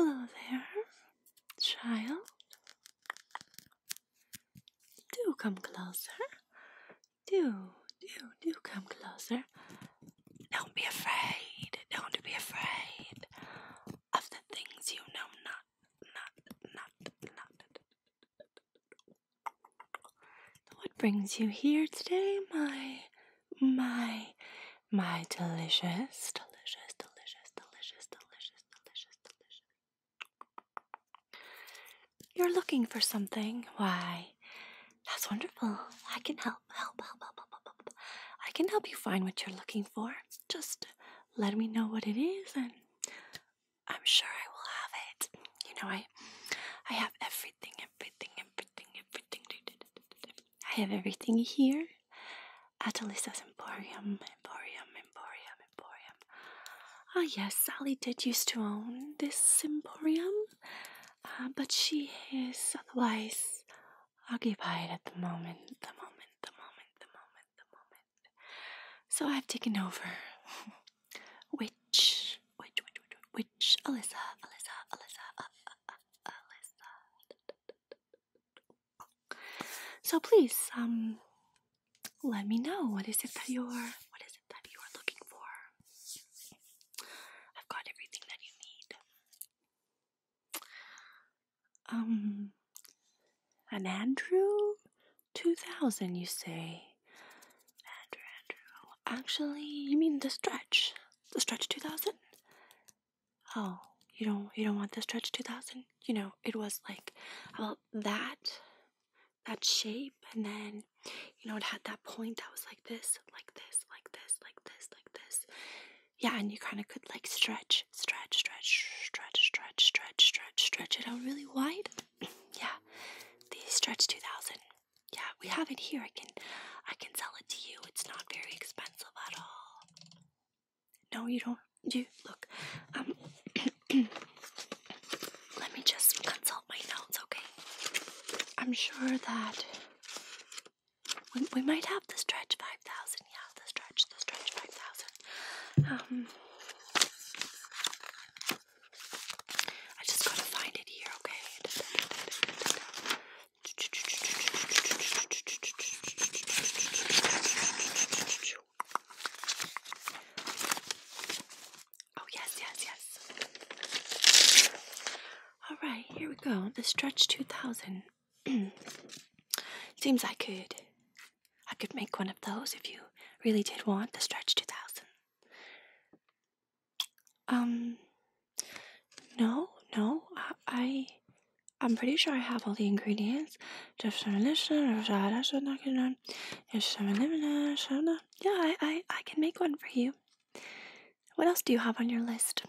Ah, Hello there, child. Do come closer. Do, do, do come closer. Don't be afraid. Don't be afraid of the things you know not, not, not, not. What brings you here today, my, my, my delicious, delicious, delicious, delicious, delicious, delicious, delicious you're looking for something? Why, that's wonderful. I can help. Help, help, help, help, help. I can help you find what you're looking for. Just let me know what it is and I'm sure I will have it. You know, I I have everything, everything, everything, everything. I have everything here at Alyssa's Emporium, Emporium, Emporium emporium. Ah, yes, Sally did used to own this emporium, uh, but she is otherwise occupied at the moment, the moment, the moment, the moment, the moment. So I've taken over. Witch. Witch. Witch. which, which, Alyssa, Alyssa, Alyssa, uh, uh, Alyssa. So please, um, let me know what is it that you're what is it that you are looking for. I've got everything that you need. Um, an Andrew, two thousand. You say, Andrew, Andrew. Actually, you mean the stretch, the stretch two thousand. Oh, you don't you don't want the stretch two thousand? you know, it was like about that, that shape, and then, you know, it had that point that was like this, like this, like this, like this, like this. Yeah, and you kind of could like stretch, stretch, stretch, stretch, stretch, stretch, stretch, stretch it out really wide. yeah, the Stretch 2000. Yeah, we have it here. I can, I can sell it to you. It's not very expensive at all. No, you don't. You look. Um, let me just consult my notes, okay? I'm sure that we, we might have the stretch five thousand. Yeah, the stretch, the stretch five thousand. Um, I just gotta find it here, okay? Oh, yes, yes, yes. All right, here we go. The Stretch 2000. Seems I could. I could make one of those if you really did want the Stretch 2000. Um, no, no, I I'm pretty sure I have all the ingredients. Yeah, I, I, I can make one for you. What else do you have on your list?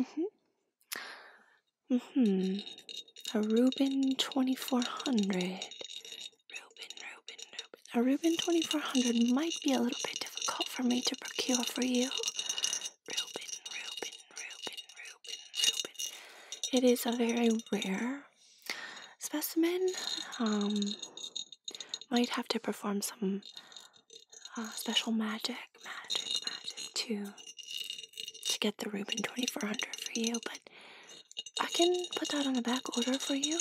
Mm-hmm. Mm-hmm. A Reuben 2400. Reuben, Reuben, Reuben. A Reuben 2400 might be a little bit difficult for me to procure for you. Reuben, Reuben, Reuben, Reuben, Reuben. It is a very rare specimen. Um, might have to perform some uh, special magic, magic, magic to to get the Reuben 2400 for you, but I can put that on the back order for you.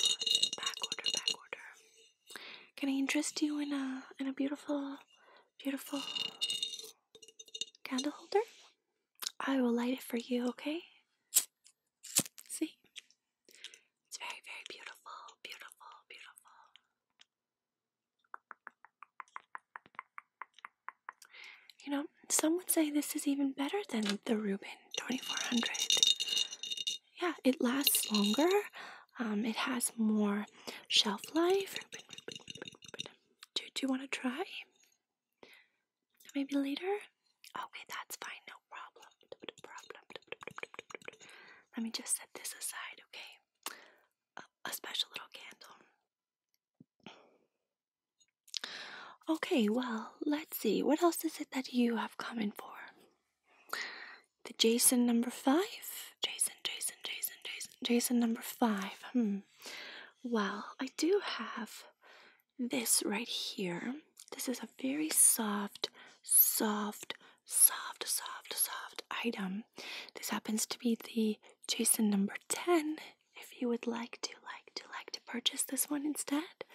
Back order, back order. Can I interest you in a in a beautiful, beautiful candle holder? I will light it for you, okay? See? It's very, very beautiful, beautiful, beautiful. You know, some would say this is even better than the Reuben 2400. Yeah, it lasts longer. Um, it has more shelf life. Do, you want to try? Maybe later? Okay, that's fine. No problem. Let me just set this aside, okay? a special little candle. Okay, well, let's see. What else is it that you have coming for? The Jason number five? Jason, Jason, Jason, Jason, Jason number five. Hmm. Mm. well, I do have this right here. This is a very soft, soft, soft, soft, soft item. This happens to be the Jason number 10. If you would like to, like to, like to purchase this one instead.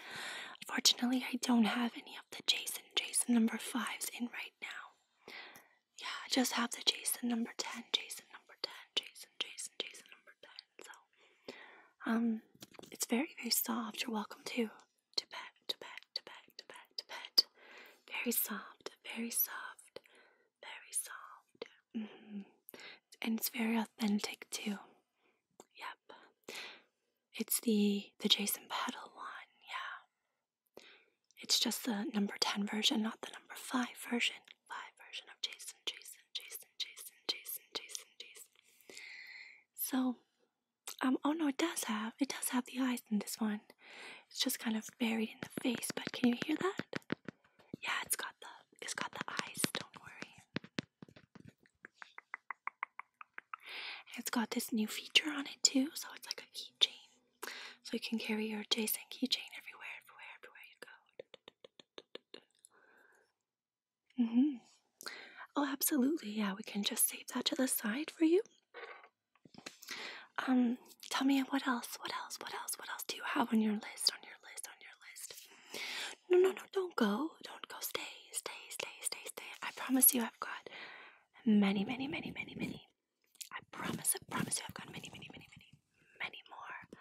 Unfortunately, I don't have any of the Jason, Jason number 5s in right now yeah, I just have the Jason number 10, Jason number 10, Jason, Jason, Jason number 10. So, um, it's very, very soft. You're welcome to, to pet, to pet, to pet, to pet, to pet. Very soft, very soft, very soft. Mm-hmm. And it's very authentic too. Yep. It's the, the Jason pedal one, yeah. It's just the number 10 version, not the number 5 version. 5 version of Jason, Jason, Jason, Jason, Jason, Jason, Jason. So, um, oh no, it does have, it does have the eyes in this one. It's just kind of buried in the face, but can you hear that? Yeah, it's got the, it's got the eyes, don't worry. it's got this new feature on it too, so it's like a keychain. So you can carry your Jason keychain everywhere, everywhere, everywhere you go. -hmm. Oh, absolutely. Yeah, we can just save that to the side for you. Um, tell me what else? What else? What else? What else do you have on your list? On your list? On your list? No, no, no! Don't go! Don't go! Stay! Stay! Stay! Stay! Stay! I promise you, I've got many, many, many, many, many. I promise. I promise you, I've got many, many, many, many many more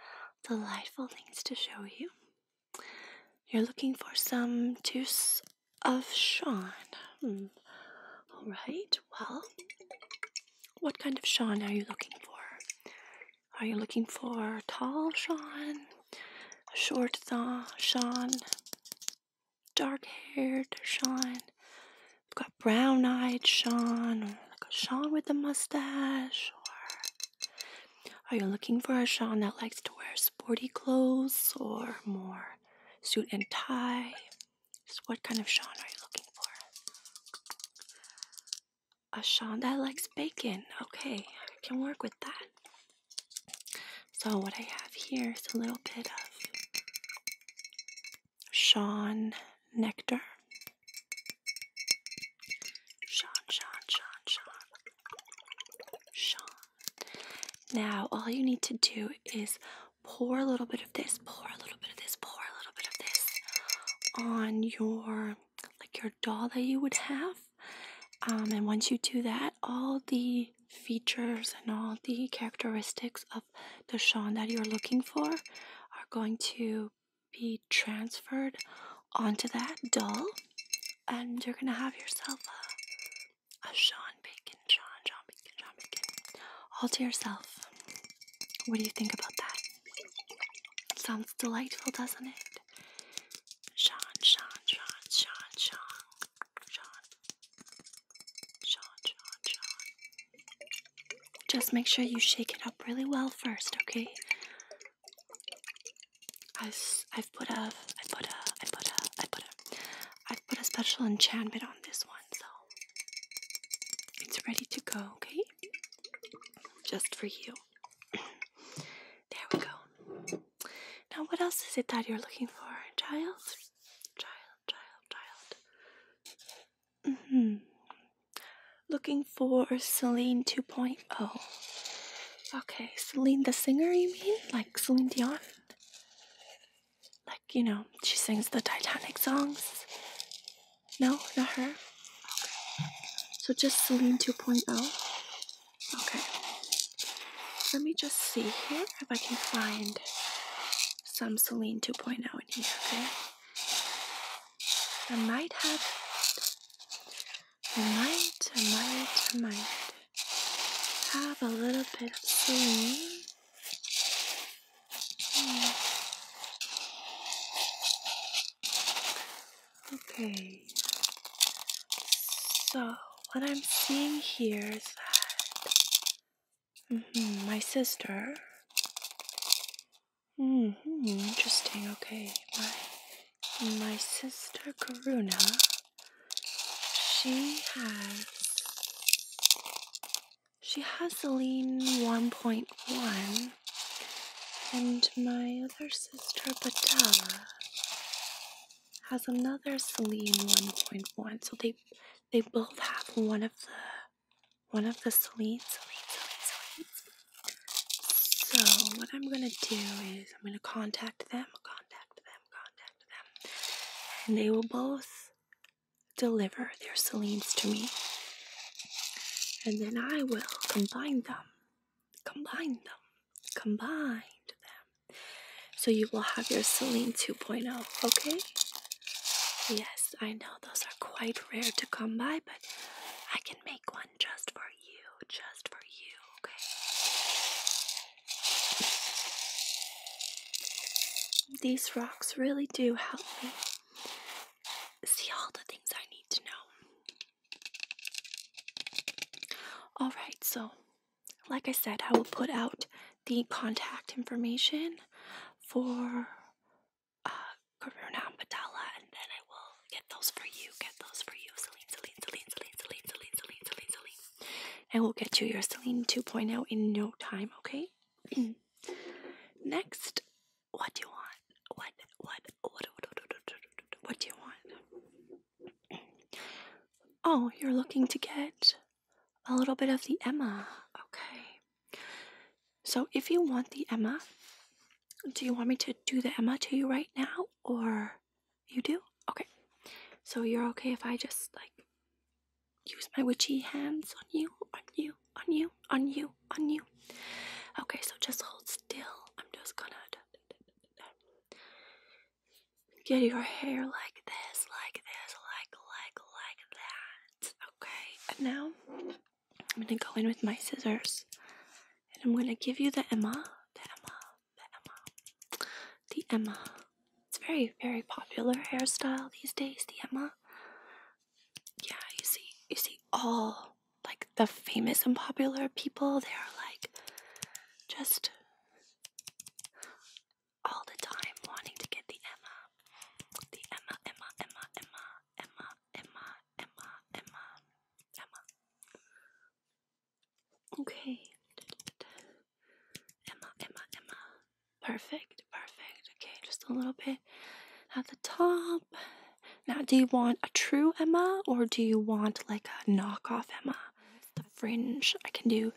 delightful things to show you. You're looking for some juice of Sean. Hmm. All right, well, what kind of Sean are you looking for? Are you looking for tall Sean, short Sean, dark haired Sean, We've got brown eyed Sean, or like a Sean with a mustache, or are you looking for a Sean that likes to wear sporty clothes or more suit and tie? Just what kind of Sean are you looking for? A Sean that likes bacon. Okay, I can work with that. So what I have here is a little bit of Sean Nectar. Sean, Sean, Sean, Sean. Now, all you need to do is pour a little bit of this, pour a little bit of this, pour a little bit of this on your, like your doll that you would have. Um, and once you do that, all the features and all the characteristics of the Sean that you're looking for are going to be transferred onto that doll, and you're gonna have yourself a, a Sean Bacon, Sean, Sean Bacon, Sean Bacon, all to yourself. What do you think about that? Sounds delightful, doesn't it? Sean, Sean, Sean, Sean, Sean, Sean, Sean, Sean, Sean. Just make sure you shake it up really well first, okay? I've I've put a I put a I put a I put a I've put a special enchantment on this one, so it's ready to go, okay? Just for you. there we go. Now, what else is it that you're looking for, child? Child, child, child hmm Looking for Celine 2.0. Okay, Celine the singer, you mean? Like Celine Dion? Like, you know, she sings the Titanic songs? No, not her? So just Celine 2.0? Okay. Let me just see here if I can find some Celine 2.0 in here, okay? I might have I might, I might, I might have a little bit of sleep. Hmm. Okay, so what I'm seeing here is that mm-hmm, my sister hmm, interesting. Okay, my my sister Karuna, she has she has a lean 1.1, and my other sister Badala has another Celine 1.1. So they they both have one of the one of the Celine's, So what I'm gonna do is I'm gonna contact them, contact them, contact them, and they will both deliver their Celines to me. And then I will combine them, combine them, combine them. So you will have your Celine 2.0, okay? Yes, I know those are quite rare to come by, but I can make one just for you, just for you, okay? These rocks really do help me see all the things I need to know. Alright, so like I said, I will put out the contact information for uh, Karuna and Patala, and then I will get those for you. Get those for you, Celine, Celine, Celine, Celine, Celine, Celine, Celine, Celine, Celine. And we'll get you your Celine 2.0 in no time, okay? Next, what do you want? what, what, what, what, what do you want? Oh, you're looking to get a little bit of the Emma. Okay. So if you want the Emma, do you want me to do the Emma to you right now or you do? Okay. So you're okay if I just like use my witchy hands on you, on you, on you, on you, on you. Okay, so just hold still. I'm just gonna get your hair like this, like this, like, like, like that. Okay, and now I'm gonna go in with my scissors and I'm gonna give you the Emma, the Emma, the Emma, the Emma. It's very, very popular hairstyle these days, the Emma. Yeah, you see, you see all like the famous and popular people, they are like just all the time wanting to get the Emma. The Emma, Emma, Emma, Emma. Emma, Emma, Emma, Emma, Emma. Okay. Emma, Emma, Emma. Perfect, perfect. Okay, just a little bit at the top. Now, do you want a true Emma or do you want like a knockoff Emma? The fringe. I can do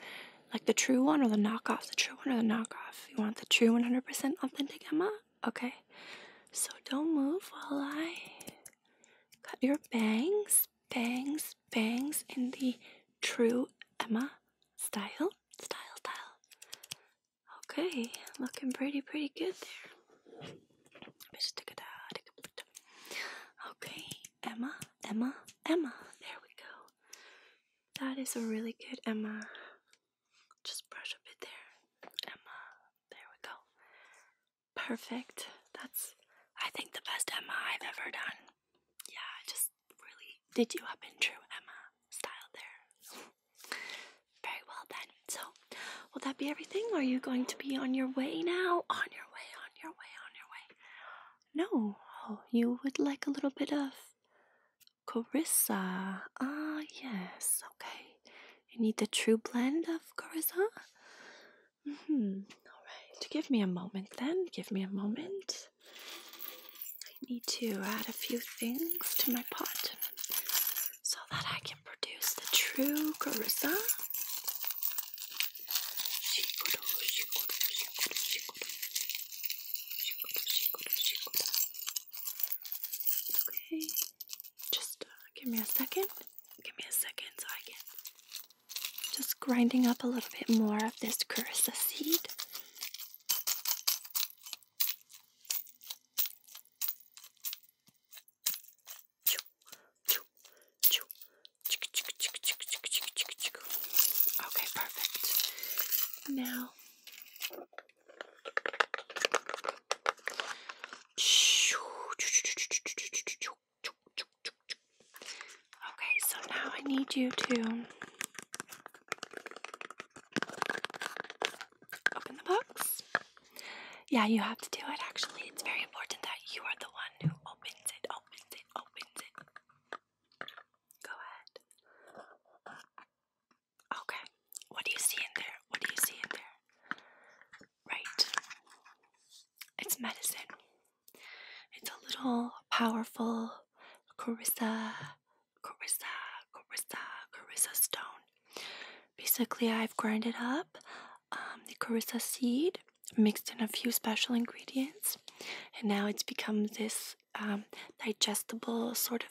like the true one or the knockoff, the true one or the knockoff. You want the true 100% authentic Emma Okay. So don't move while I cut your bangs, bangs, bangs in the true Emma style, style, style. Okay, looking pretty, pretty good there. Okay, Emma, Emma, Emma. There we go. That is a really good Emma. Just brush a bit there, Emma. There we go. Perfect. That's, I think, the best Emma I've ever done. Yeah, just really did you up in true Emma style there. Very well then. So, will that be everything? Are you going to be on your way now? On your way, on your way, on your way. No, oh, you would like a little bit of Carissa. Ah, yes. Okay. You need the true blend of Carissa? hmm. All right. Give me a moment then. Give me a moment. I need to add a few things to my pot so that I can produce the true Carissa. Okay, just uh, give me a second. Give me a second so I can just grinding up a little bit more of this carissa seed. Okay, perfect. Now Okay, so now I need you to open the box. Yeah, you have to do it actually. It's very important that you are the one who opens it, opens it, opens it. Go ahead. Okay. What do you see in there? What do you see in there? Right. It's medicine. It's a little powerful Carissa, Carissa, Carissa, Carissa stone. Basically, I've ground it up, um, the Carissa seed, mixed in a few special ingredients, and now it's become this um, digestible sort of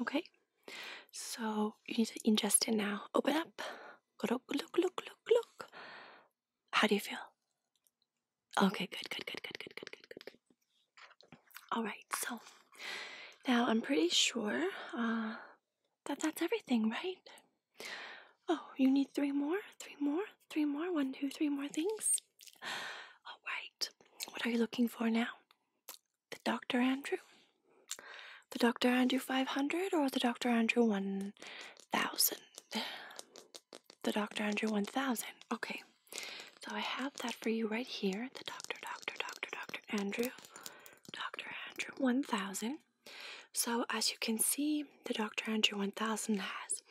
Okay, so you need to ingest it now. Open up. Look, look, look, look. How do you feel? Okay, good, good, good, good, good, good, good, good, good. All right, so now I'm pretty sure uh, that that's everything, right? Oh, you need three more, three more, three more, one, two, three more things. All right, what are you looking for now? the Dr. Andrew? The Dr. Andrew 500 or the Dr. Andrew 1000? The Dr. Andrew 1000. Okay. So I have that for you right here. The Dr. Dr. Dr. Dr. Andrew. Dr. Andrew 1000. So as you can see, the Dr. Andrew 1000 has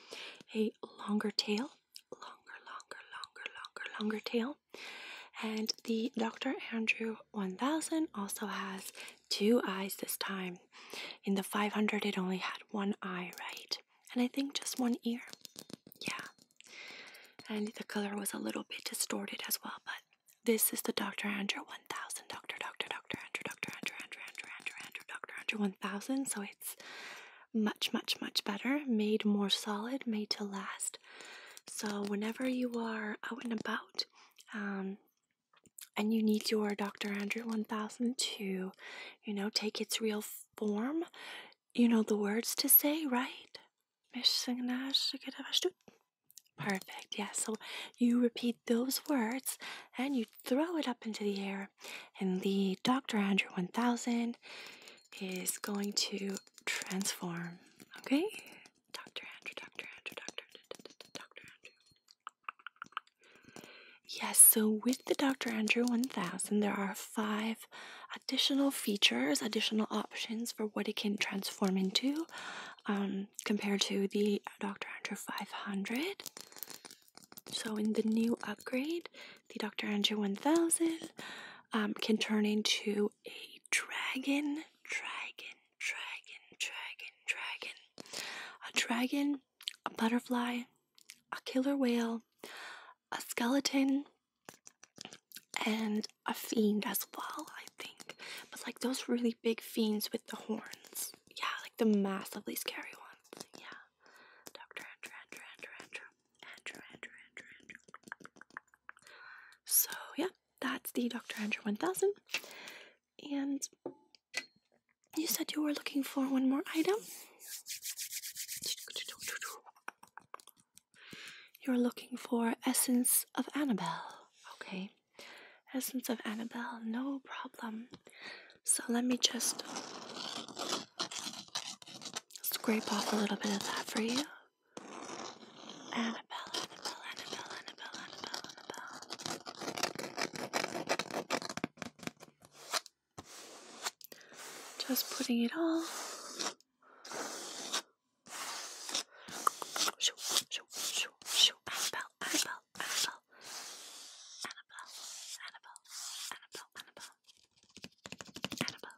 a longer tail. Longer, longer, longer, longer, longer tail. And the Dr. Andrew 1000 also has two eyes this time. In the 500, it only had one eye, right? And I think just one ear. Yeah. And the color was a little bit distorted as well, but this is the Dr. Andrew 1000. Dr. Dr. Dr. Andrew, Dr. Andrew, Andrew, Andrew, Andrew, Andrew, Dr. Andrew 1000. So it's much, much, much better, made more solid, made to last. So, whenever you are out and about um, and you need your Dr. Andrew 1000 to, you know, take its real form, you know the words to say, right? Perfect, yeah. So you repeat those words and you throw it up into the air, and the Dr. Andrew 1000 is going to transform. Okay? Dr. Andrew, Dr. Andrew, Dr. Andrew, Dr. Andrew. Yes, so with the Dr. Andrew 1000, there are five additional features, additional options for what it can transform into um, compared to the Dr. Andrew 500. So in the new upgrade, the Dr. Andrew 1000 um, can turn into to a dragon, dragon, dragon, dragon, dragon. A dragon, a butterfly, a killer whale, a skeleton, and a fiend as well, I think. But like those really big fiends with the horns. Yeah, like the massively scary ones. Yeah. So yeah, that's the Dr. Andrew 1000. And you said you were looking for one more item. You're looking for Essence of Annabelle. Okay. Essence of Annabelle, no problem. So let me just scrape off a little bit of that for you. Annabelle, Annabelle, Annabelle, Annabelle, Annabelle, Annabelle. Just putting it all. Shoo, shoo, shoo, shoo. Annabelle, Annabelle, Annabelle. Annabelle, Annabelle, Annabelle, Annabelle. Annabelle.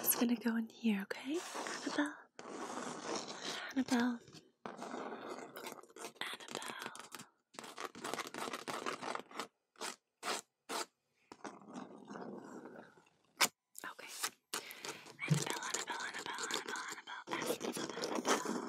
It's gonna go in here, okay? Annabelle. Annabelle. Annabelle. Okay. Annabelle, Annabelle, Annabelle, Annabelle, Annabelle. Essence of Annabelle.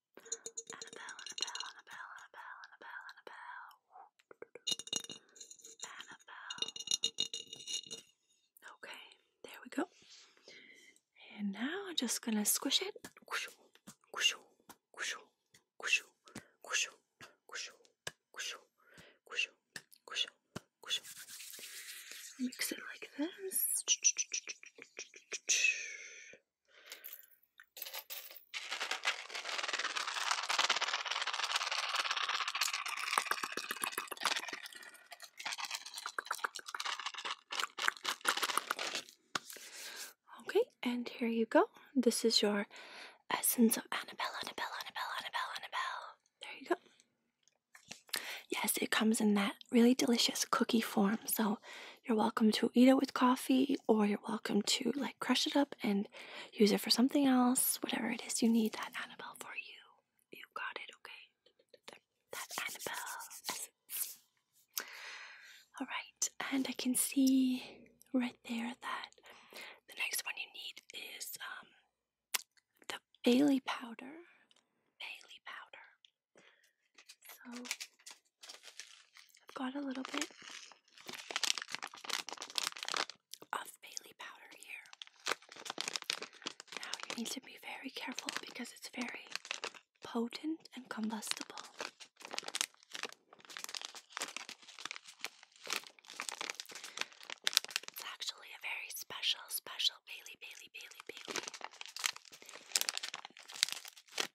Okay, there we go. And now I'm just gonna squish it. Mix it like this. Okay, and here you go. This is your essence of Annabelle, Annabelle, Annabelle, Annabelle, Annabelle. There you go. Yes, it comes in that really delicious cookie form. So you're welcome to eat it with coffee, or you're welcome to like crush it up and use it for something else. Whatever it is you need, that Annabelle for you. You got it, okay? That Annabelle. All right, and I can see right there that the next one you need is um, the Bailey powder. Bailey powder. So I've got a little bit of Bailey powder here. Now you need to be very careful because it's very potent and combustible. It's actually a very special, special Bailey, Bailey, Bailey, Bailey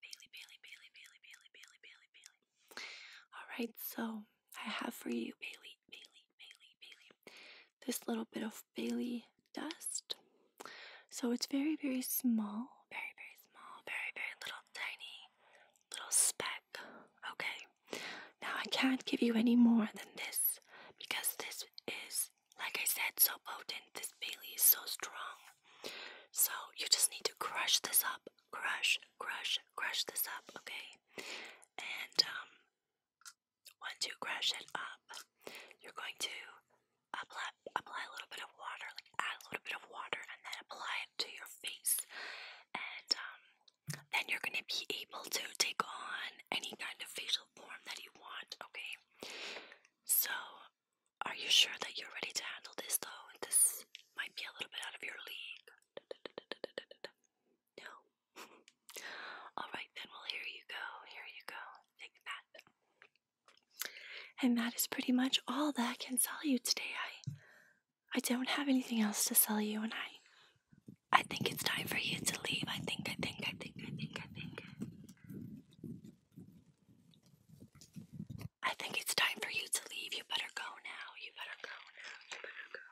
Bailey, Bailey, Bailey, Bailey, Bailey, Bailey, Bailey, Bailey. Alright, so I have for you Bailey, Bailey, Bailey, Bailey. This little bit of Bailey dust. So it's very, very small. Very, very small. Very, very little tiny little speck. Okay. Now I can't give you any more than this because this is like I said, so potent. This Bailey is so strong. So you just need to crush this up. Crush, crush, crush this up, okay? And um, once you crush it up, you're going to apply, apply a little bit of water, like add a little bit of water, and then apply it to your face. And um, then you're going to be able to take on any kind of facial form that you want, okay? So are you sure that you're ready to handle this though? This might be a little bit out of your league. No. Alright then, well, here you go. Here you go. Take that. And that is pretty much all that I can sell you today. I I don't have anything else to sell you and I I think it's time for you to leave. I think I think I think I think I think I think it's time for you to leave. You better go now. You better go now. You better go.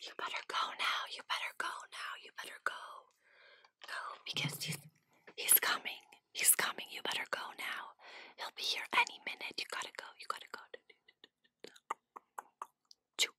You better go now. You better go now. You better go. Go because he's he's coming. He's coming. You better go now. He'll be here any minute. You gotta go. You gotta go. Choo.